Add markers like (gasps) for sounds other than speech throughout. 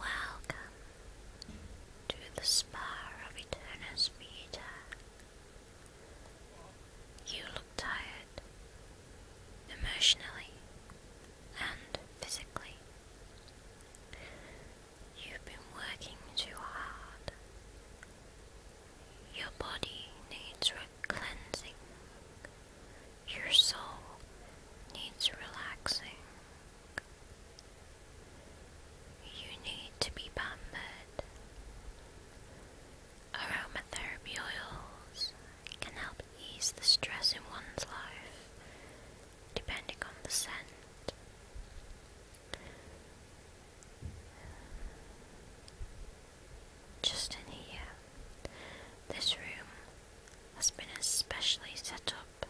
Welcome to the Spa of Eternus Vita. You look tired, emotionally and physically. You've been working too hard. Your body needs re cleansing your soul needs relaxing. You need to be pampered. Aromatherapy oils can help ease the stress in one's life, depending on the scent. Just in here, this room has been especially set up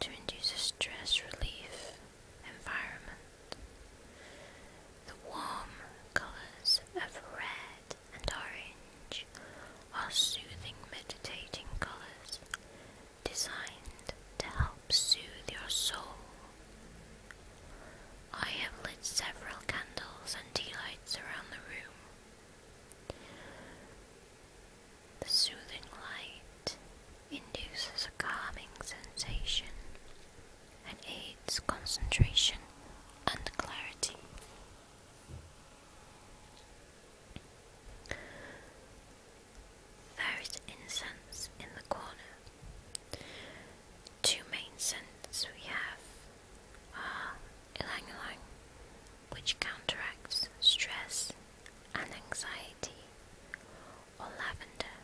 to induce a stress relief environment. The warm colours of red and orange are soothing meditating colours designed to help soothe your soul. I have lit several candles and tea lights around the room the soothing light induces a calming sensation and aids concentration and clarity. There is incense in the corner. Two main scents we have are (gasps) ylang which counteracts stress and anxiety, or lavender,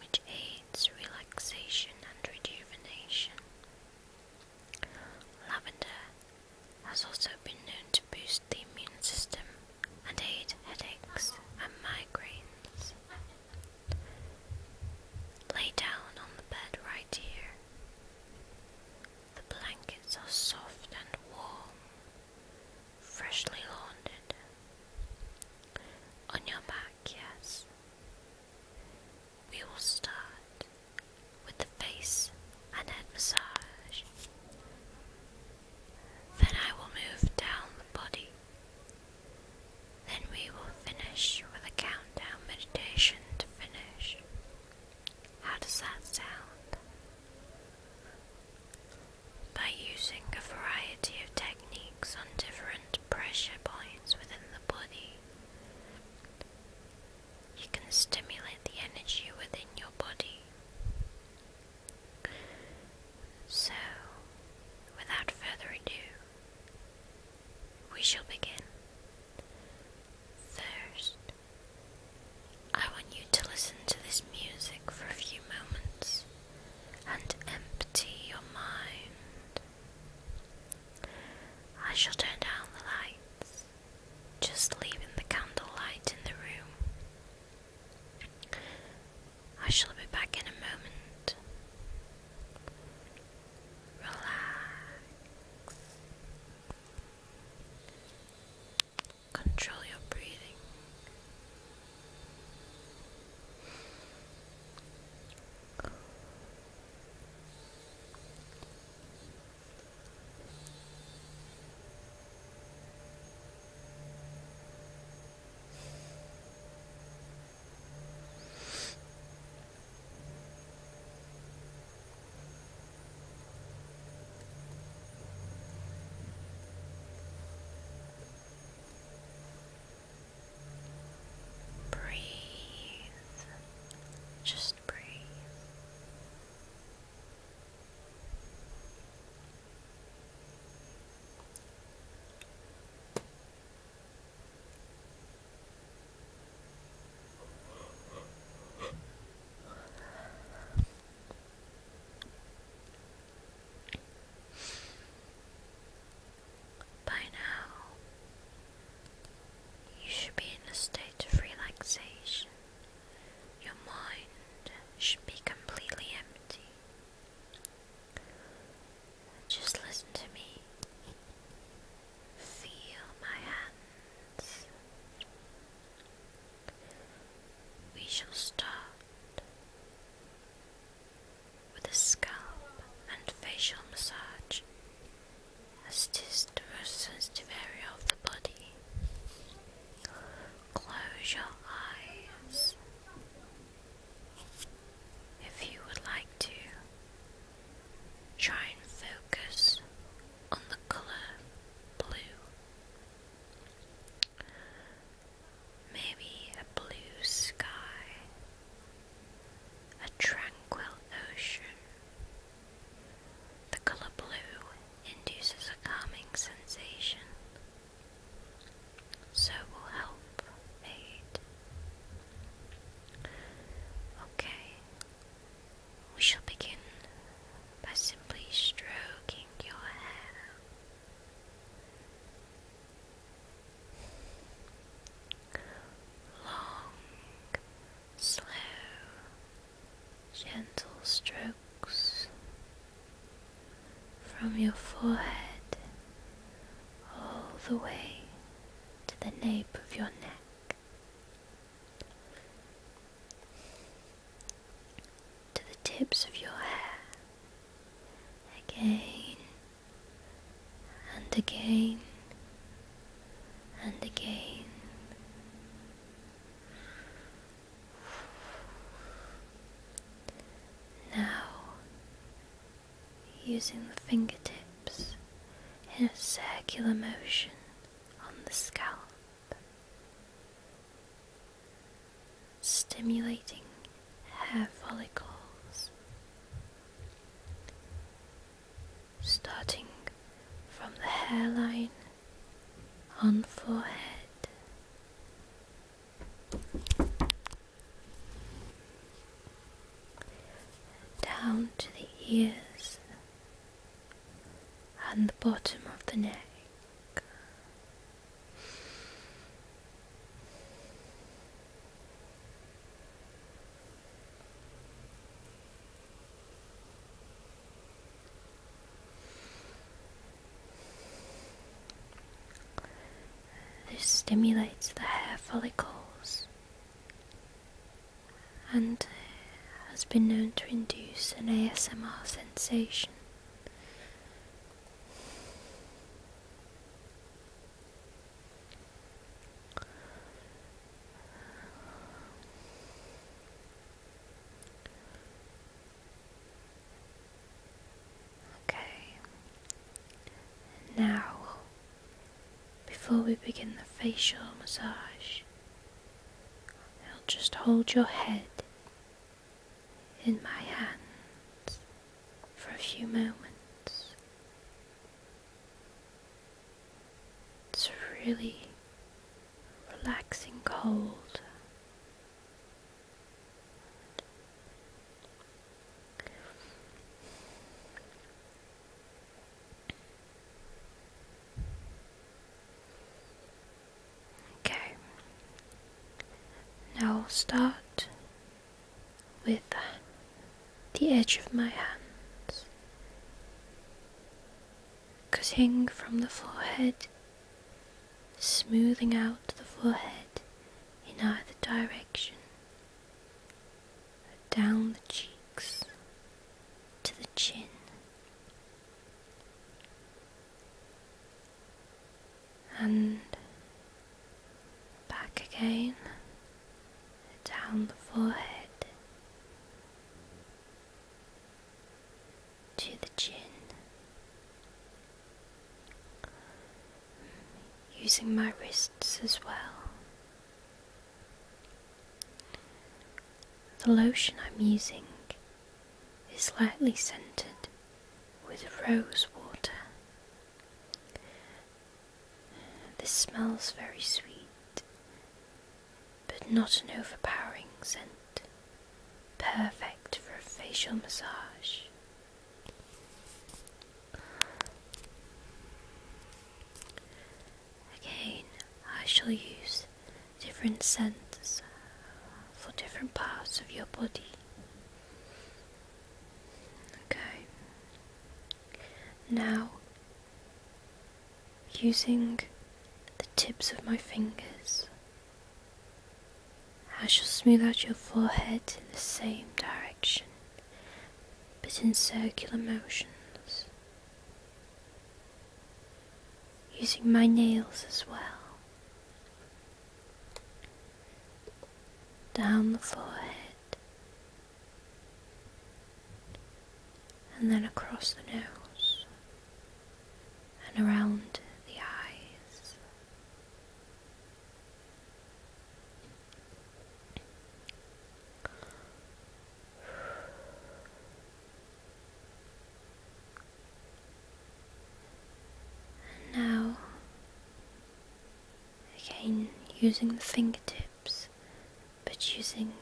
which aids relaxation and rejuvenation. Lavender has also been known to boost the immune system and aid headaches and migraines. Lay down on the bed right dear. The blankets are soft and warm, freshly laundered. On your back, yes. We will start with the face and head massage. Then I will move down the body. Then we will finish with a countdown meditation to finish. How does that sound? By using a variety of techniques on different pressure points within the body, you can stimulate the energy within your body. So, without further ado, we shall begin. First, I want you to listen to this music for a few moments and empty your mind. I shall turn down the lights, just leaving the candle light in the room. I shall be back in a moment relax. Control your breathing. Breathe, just breathe. By now, you should be in a state of relaxation. Your mind should be completely empty. Just listen to me Feel my hands. We shall start with a scalp and facial massage, as it is sensitive area of the body. Close your eyes. If you would like to, Try and focus on the color blue. Maybe a blue sky, a tranquil ocean. The color blue induces a calming sensation, so will help aid. Okay, we shall begin by simply stroking your hair. Long, slow, gentle strokes from your forehead all the way to the nape of your neck to the tips of your hair again and again and again. Now using the fingertips in a circular motion on the scalp, stimulating hair follicles, starting from the hairline on forehead down to the ears and the bottom of the neck. This stimulates the hair follicles and has been known to induce an ASMR sensation. Okay, now before we begin the facial massage, I'll just hold your head in my hands for a few moments. It's a really relaxing cold. Okay. Now I'll start with the edge of my hands, cutting from the forehead, smoothing out the forehead in either direction down the cheeks to the chin. And back again down the forehead to the chin, using my wrists as well the lotion I'm using is lightly scented with rose water. This smells very sweet, but not an overpowering scent. Perfect for a facial massage. Again, I shall use different scents for different parts of your body. Okay. Now, using the tips of my fingers, I shall smooth out your forehead in the same direction but in circular motions, using my nails as well, down the forehead, and then across the nose and around the eyes now, again using the fingertips, but using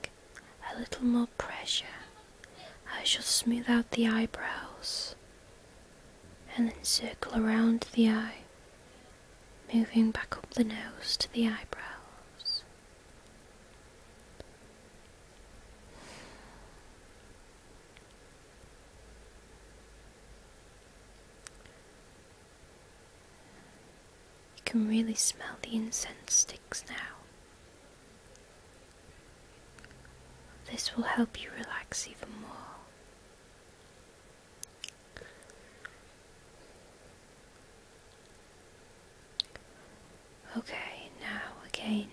a little more pressure, I shall smooth out the eyebrows and then circle around the eye moving back up the nose to the eyebrows. You can really smell the incense sticks now. This will help you relax even more. Okay, now again,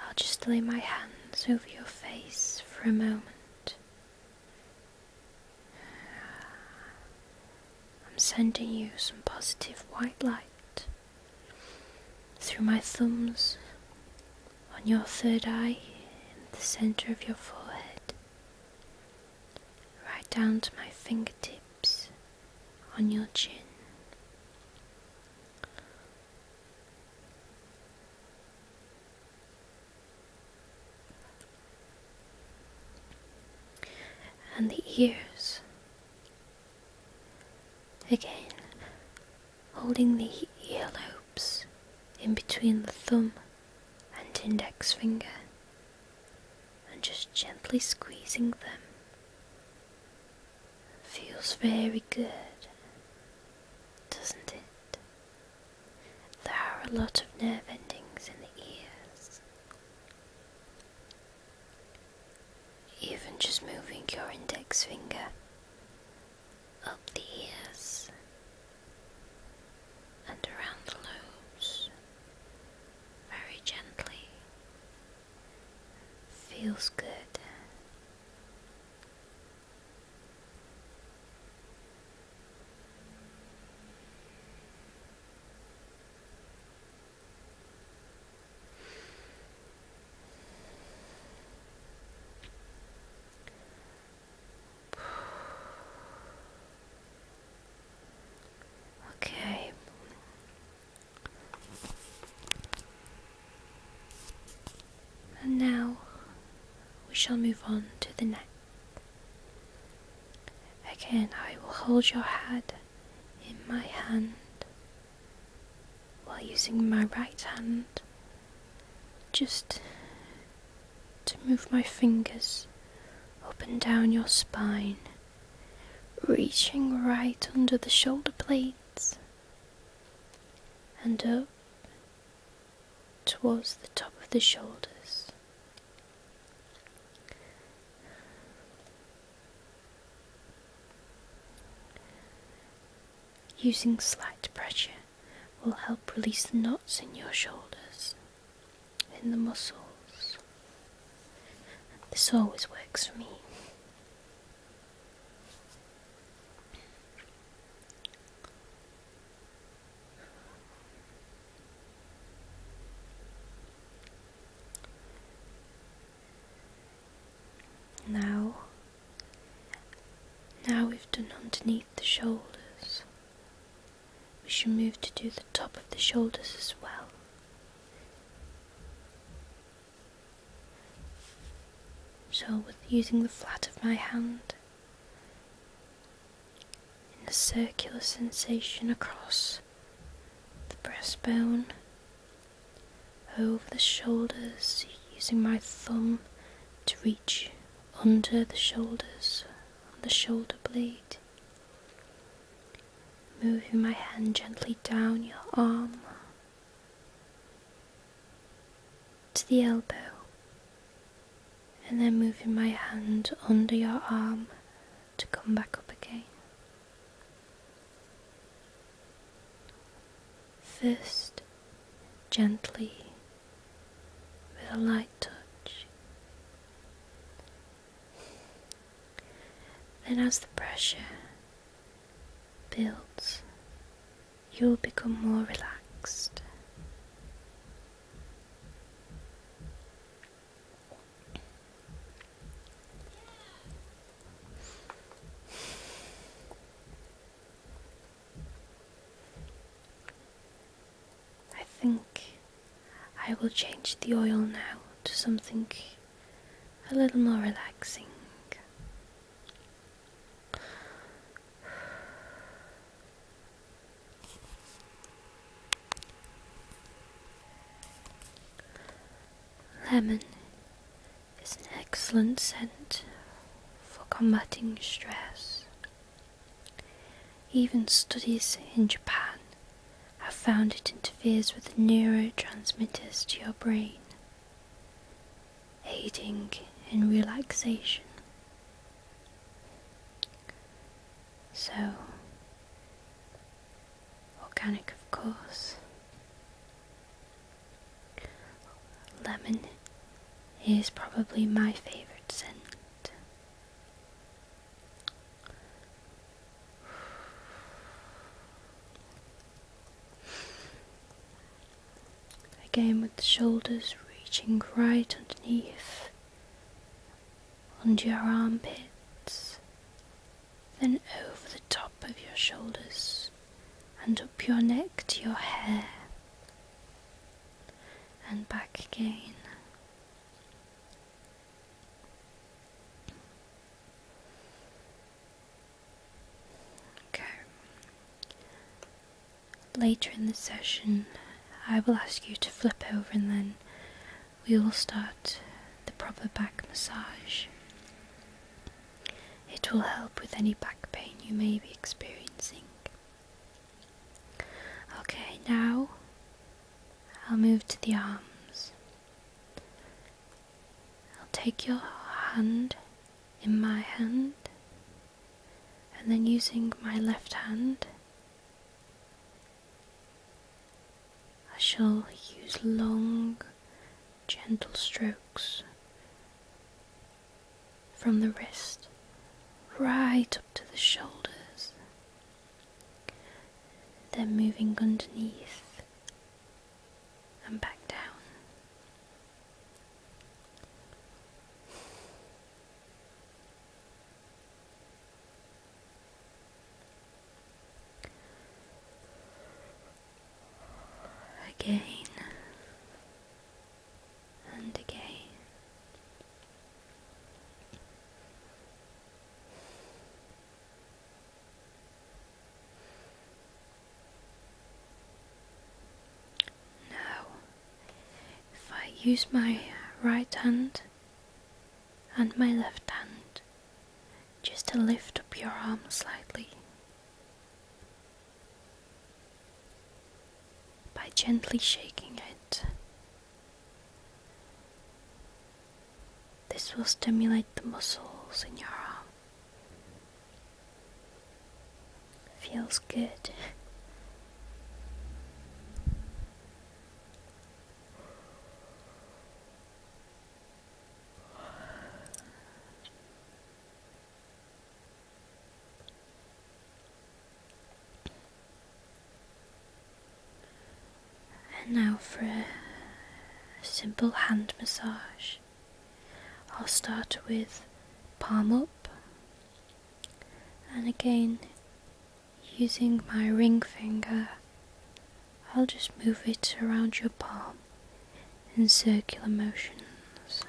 I'll just lay my hands over your face for a moment. I'm sending you some positive white light through my thumbs, on your third eye, in the center of your forehead, right down to my fingertips on your chin. And the ears. Again, holding the earlobes in between the thumb and index finger and just gently squeezing them. Feels very good, doesn't it? There are a lot of nerve endings in the ears. Even just moving your index finger up the ears and around the lobes very gently. Feels good. Okay. And now we shall move on to the neck. Again, I will hold your head in my hand while using my right hand just to move my fingers up and down your spine, reaching right under the shoulder blades and up towards the top of the shoulders. Using slight pressure will help release the knots in your shoulders in the muscles. This always works for me. Now, now we've done underneath the shoulders, we should move to do the top of the shoulders as well. So, with using the flat of my hand in a circular sensation across the breastbone, over the shoulders, using my thumb to reach under the shoulders on the shoulder blade, moving my hand gently down your arm to the elbow, and then moving my hand under your arm to come back up again. Fist, gently with a light touch. Then, as the pressure builds, you will become more relaxed. I think I will change the oil now to something a little more relaxing. Lemon is an excellent scent for combating stress. Even studies in Japan have found it interferes with the neurotransmitters to your brain, aiding in relaxation. So, organic, of course. Lemon is probably my favourite scent. Again, with the shoulders reaching right underneath, under your armpits, then over the top of your shoulders and up your neck to your hair and back again. Okay. Later in the session, I will ask you to flip over and then we will start the proper back massage. It will help with any back pain you may be experiencing. Okay, now I'll move to the arms. I'll take your hand in my hand, and then using my left hand, I shall use long, gentle strokes from the wrist right up to the shoulders, then moving underneath and back down. Again, and again. Now, if I use my right hand and my left hand just to lift up your arm slightly by gently shaking it. This will stimulate the muscles in your arm. Feels good. And now for a simple hand massage. I'll start with palm up and again using my ring finger I'll just move it around your palm in circular motions.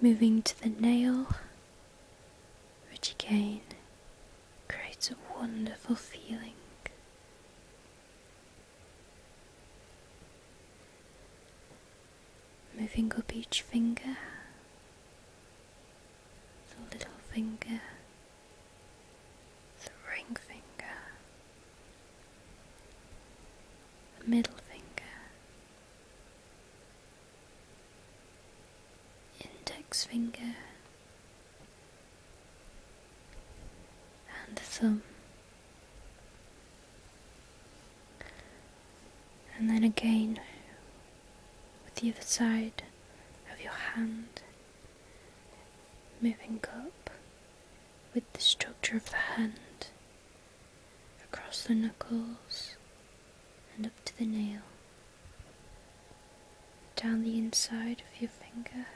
Moving to the nail, which again creates a wonderful feeling moving up each finger, the little finger, the ring finger, the middle finger, index finger, and the thumb and then again with the other side of your hand, moving up with the structure of the hand across the knuckles and up to the nail, down the inside of your finger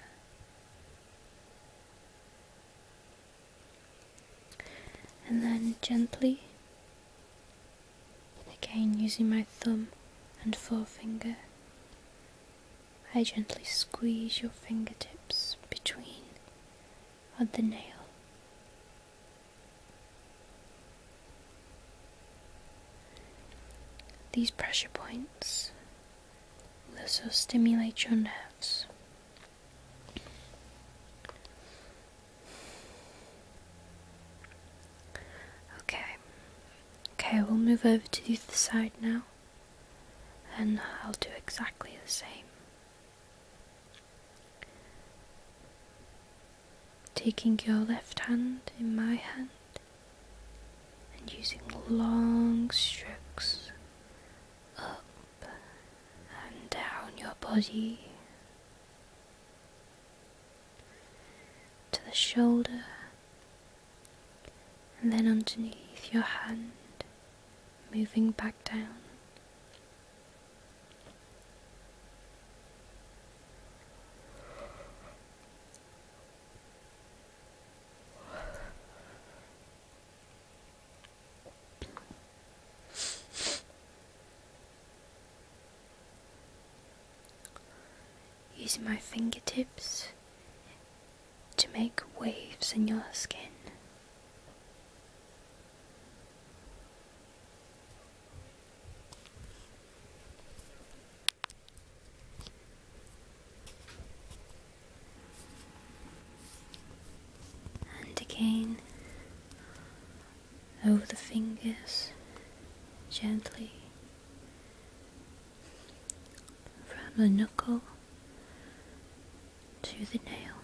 and then gently, again using my thumb and forefinger, I gently squeeze your fingertips between on the nail. These pressure points will also stimulate your nerves. Okay. Okay, we'll move over to the other side now. And I'll do exactly the same. Taking your left hand in my hand and using long strokes up and down your body to the shoulder, and then underneath your hand, moving back down. Using my fingertips to make waves in your skin. And again over the fingers, gently from the knuckle to the nail.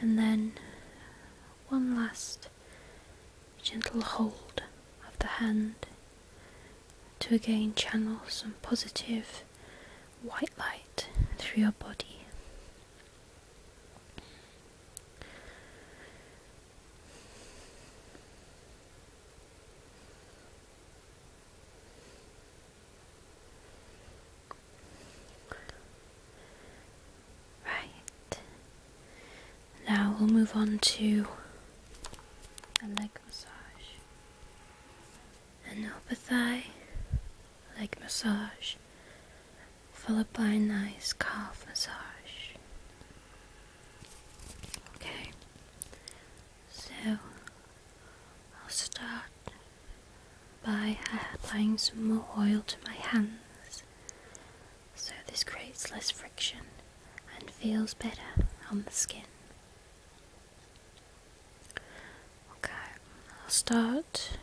And then one last gentle hold of the hand to again channel some positive white light through your body. Right, now we'll move on to a leg massage, an upper thigh leg massage, followed by a nice calf massage. Okay, so I'll start by applying some more oil to my hands so this creates less friction and feels better on the skin. Okay, I'll start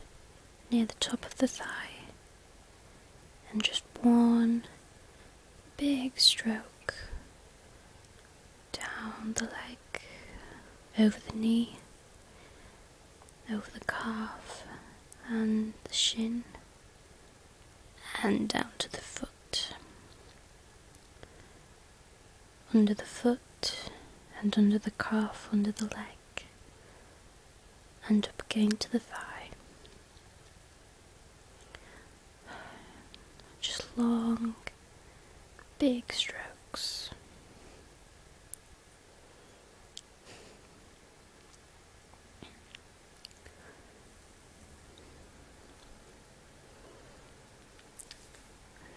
near the top of the thigh and just one big stroke down the leg, over the knee, over the calf and the shin and down to the foot. Under the foot and under the calf, under the leg, and up again to the thigh. Just long, big strokes.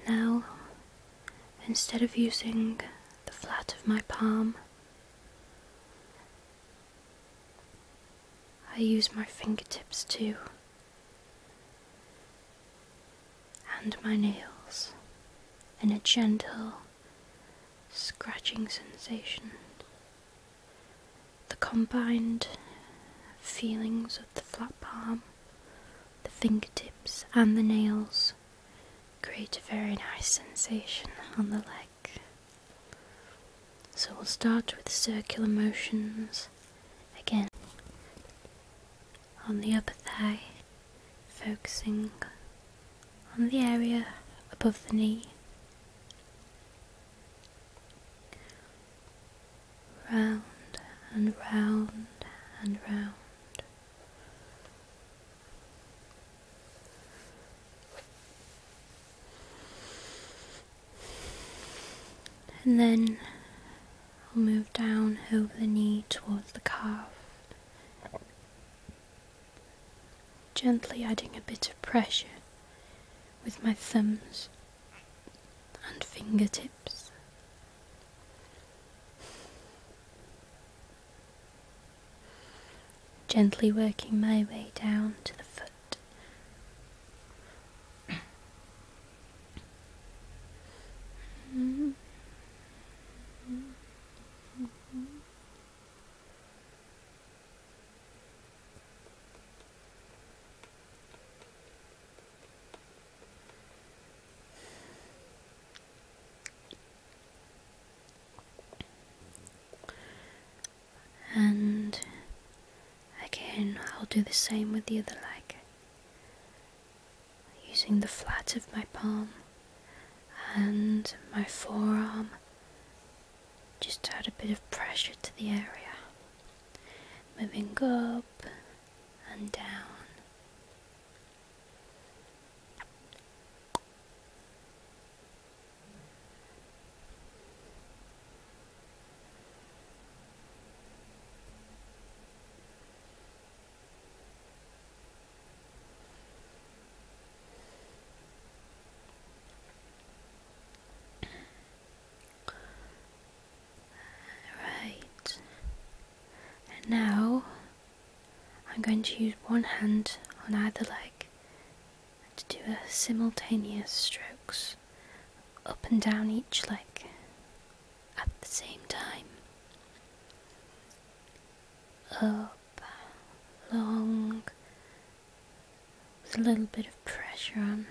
Now, instead of using the flat of my palm, I use my fingertips too, and my nails in a gentle scratching sensation the combined feelings of the flat palm, the fingertips, and the nails create a very nice sensation on the leg. So we'll start with circular motions again on the upper thigh, focusing on the area above the knee round and round and round. And then I'll move down over the knee towards the calf gently adding a bit of pressure with my thumbs and fingertips. Gently working my way down to the foot. And again, I'll do the same with the other leg, using the flat of my palm and my forearm just add a bit of pressure to the area, moving up and down. Right. And now I'm going to use one hand on either leg to do a simultaneous strokes up and down each leg at the same time. Up long, with a little bit of pressure on.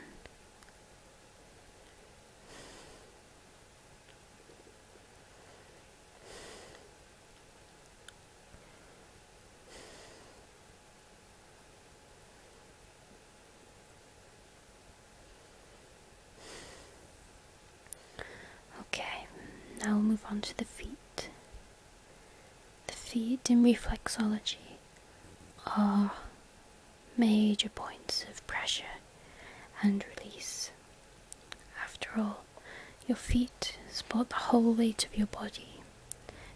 Okay, now we'll move on to the feet. The feet in reflexology are major points of pressure and release. After all, your feet support the whole weight of your body,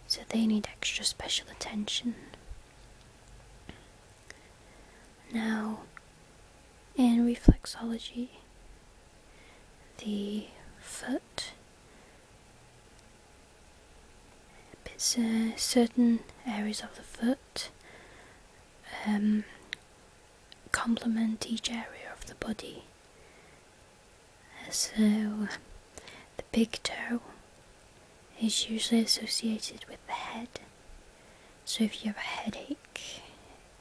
so they need extra special attention. Now, in reflexology, the foot it's uh, certain areas of the foot um, complement each area of the body. So, the big toe is usually associated with the head. So, if you have a headache,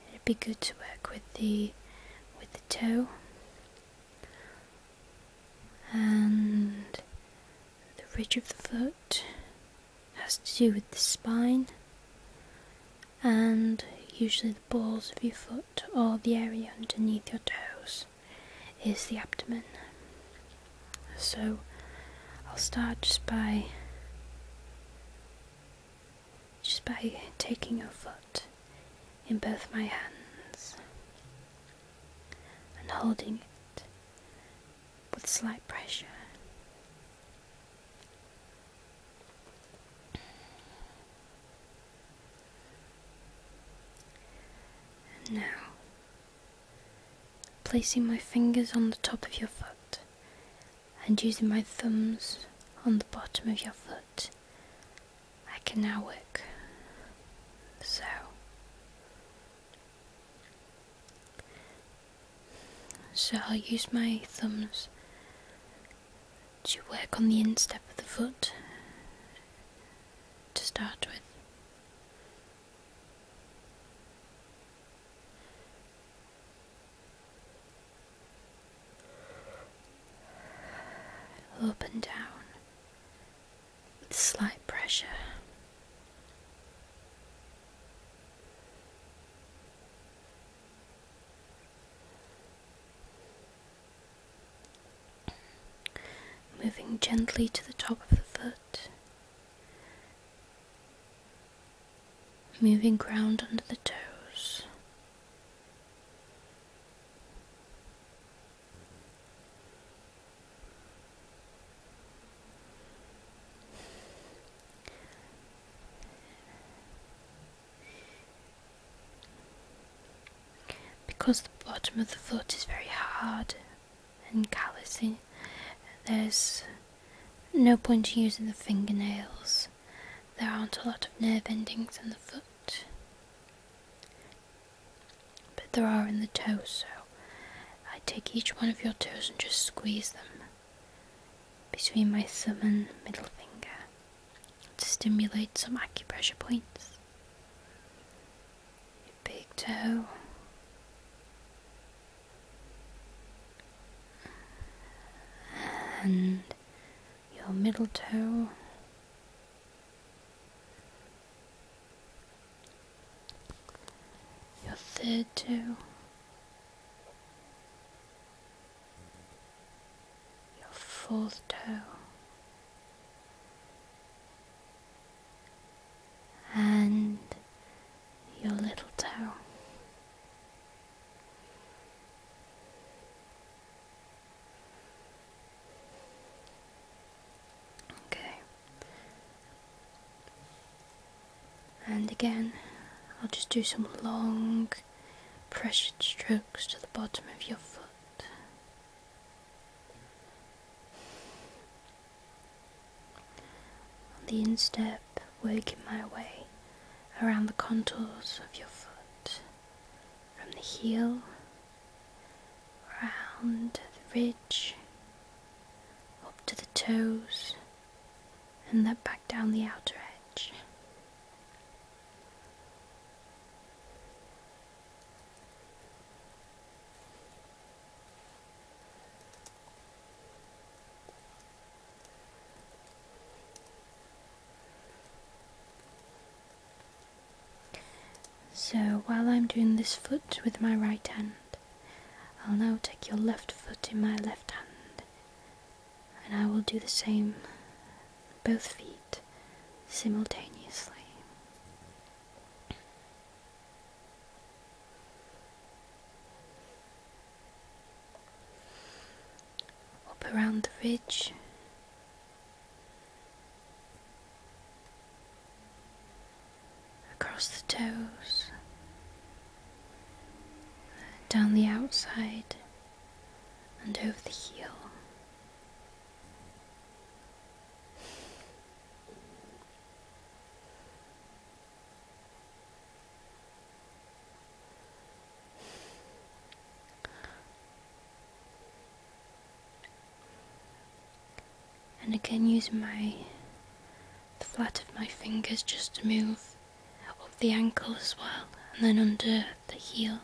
it'd be good to work with the with the toe and the ridge of the foot has to do with the spine and usually the balls of your foot or the area underneath your toes is the abdomen. So I'll start just by just by taking your foot in both my hands and holding it with slight pressure. And now, placing my fingers on the top of your foot and using my thumbs on the bottom of your foot I can now work. So so I'll use my thumbs to work on the instep of the foot to start with. Up and down with slight pressure. Moving gently to the top of the foot, moving ground under the toes. Because the bottom of the foot is very hard and callousing, there's no point using the fingernails. There aren't a lot of nerve endings in the foot. But there are in the toes, so I take each one of your toes and just squeeze them between my thumb and middle finger to stimulate some acupressure points. Your big toe. And your middle toe your third toe, Your fourth toe. And your little toe. Okay. And again, I'll just do some long pressured strokes to the bottom of your foot. On the instep, working my way around the contours of your foot from the heel round the ridge, up to the toes, and then back down the outer edge. So while I'm doing this foot with my right hand, I'll now take your left foot in my left hand and I will do the same both feet simultaneously. Up around the ridge across the toes, down the outside, and over the heel. And again using my flat of my fingers just to move up the ankle as well and then under the heel.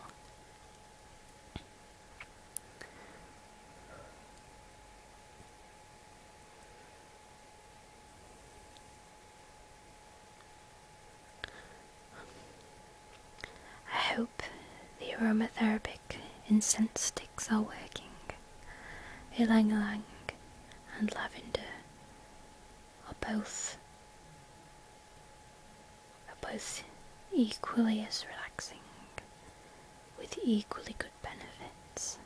I hope the aromatherapic incense sticks are working. Ylang ylang and lavender are both are both equally as relaxing with equally good benefits.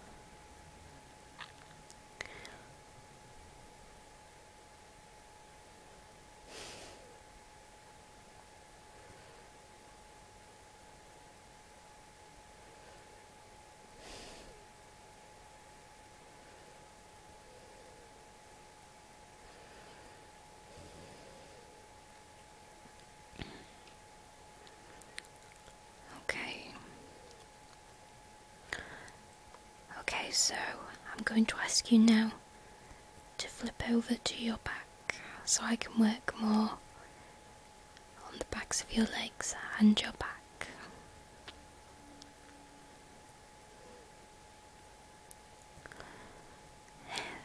Okay. Okay, so I'm going to ask you now to flip over to your back so I can work more on the backs of your legs and your back.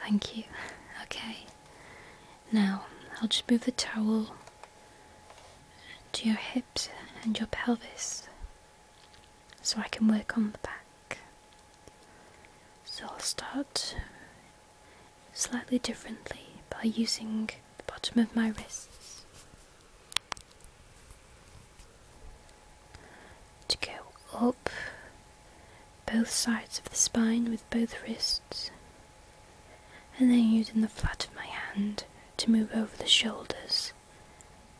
Thank you. Okay, now I'll just move the towel to your hips and your pelvis so I can work on the back. So I'll start slightly differently by using the bottom of my wrists to go up both sides of the spine with both wrists and then using the flat of my hand to move over the shoulders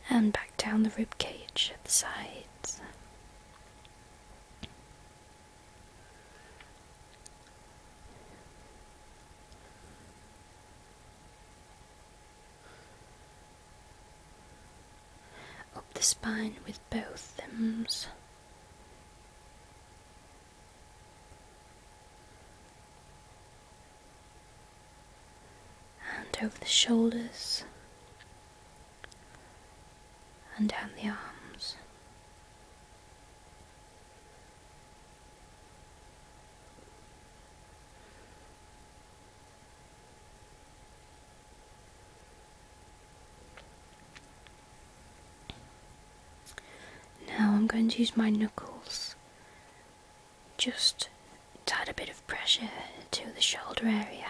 and back down the rib cage at the sides. Up the spine with both thumbs, And over the shoulders and down the arms. Now I'm going to use my knuckles. Just add a bit of pressure to the shoulder area.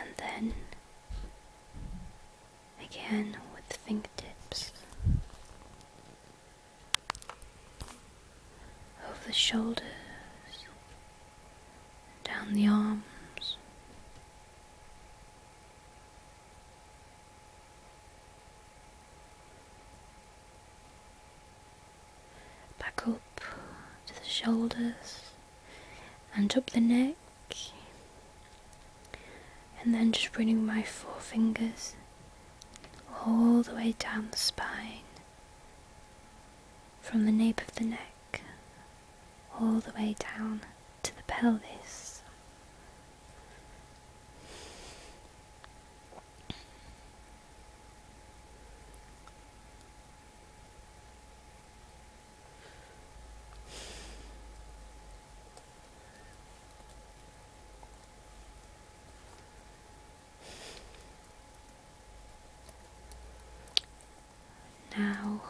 and then again with the fingertips over the shoulders, down the arms back up to the shoulders and up the neck, and then just bringing my forefingers all the way down the spine from the nape of the neck all the way down to the pelvis. Now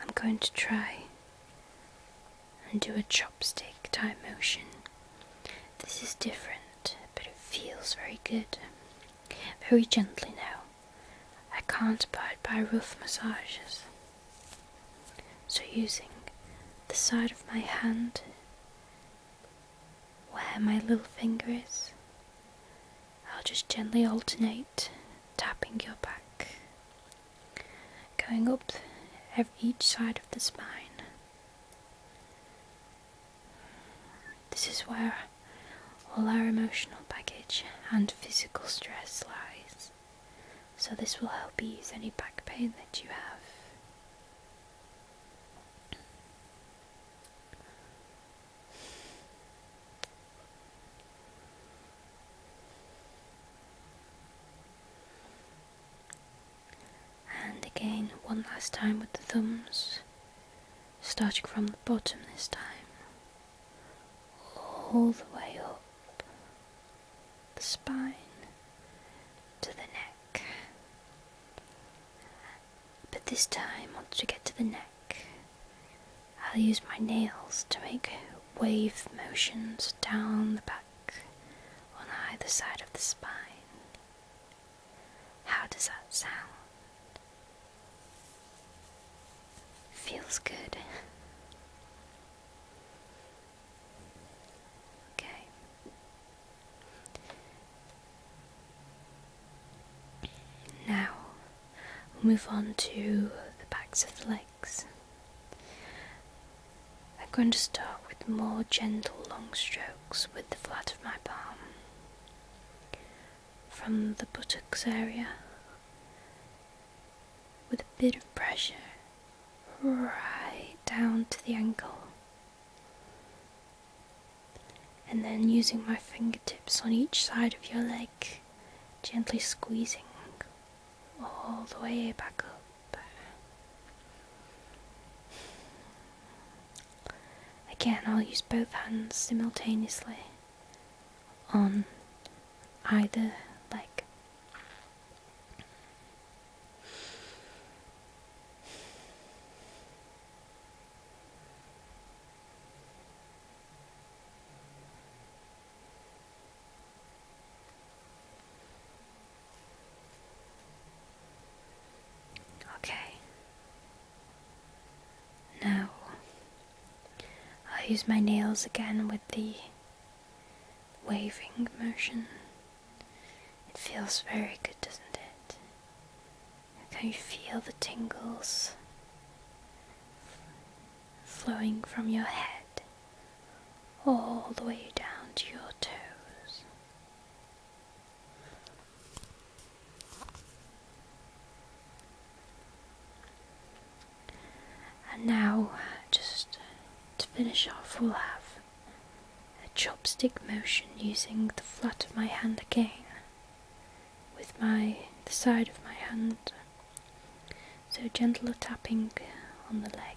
I'm going to try and do a chopstick type motion. This is different, but it feels very good. Very gently now. I can't abide by rough massages. So, using the side of my hand where my little finger is, I'll just gently alternate tapping your back, going up each side of the spine, this is where all our emotional baggage and physical stress lies, so this will help ease any back pain that you have and again one last time with the thumbs starting from the bottom this time all the way up the spine to the neck but this time once we get to the neck I'll use my nails to make wave motions down the back on either side of the spine how does that sound? Feels good. okay. Now move on to the backs of the legs. I'm going to start with more gentle long strokes with the flat of my palm. From the buttocks area, with a bit of pressure, right down to the ankle. And then using my fingertips on each side of your leg, gently squeezing all the way back up. Again, I'll use both hands simultaneously on either leg. Okay. Now I'll use my nails again with the waving motion. It feels very good, doesn't it? Can you feel the tingles flowing from your head all the way down to your toes? And now, just to finish off, we'll have a chopstick motion using the flat of my hand again with my the side of my hand. So gentle a tapping on the leg.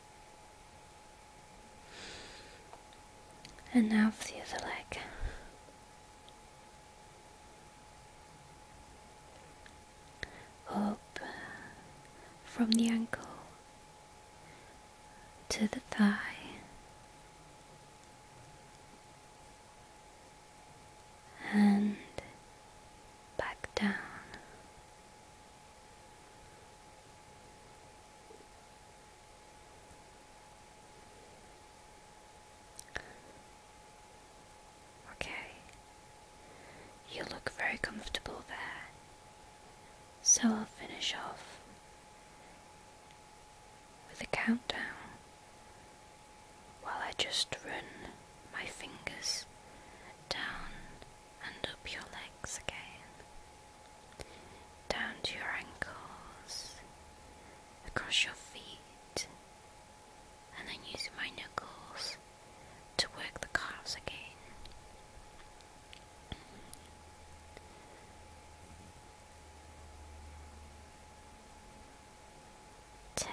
And now for the other leg. Up from the ankle to the thigh. And back down Okay. You look very comfortable there. So I'll finish off with a countdown while I just run my fingers down and up your legs again, down to your ankles, across your feet, and then using my knuckles to work the calves again. Ten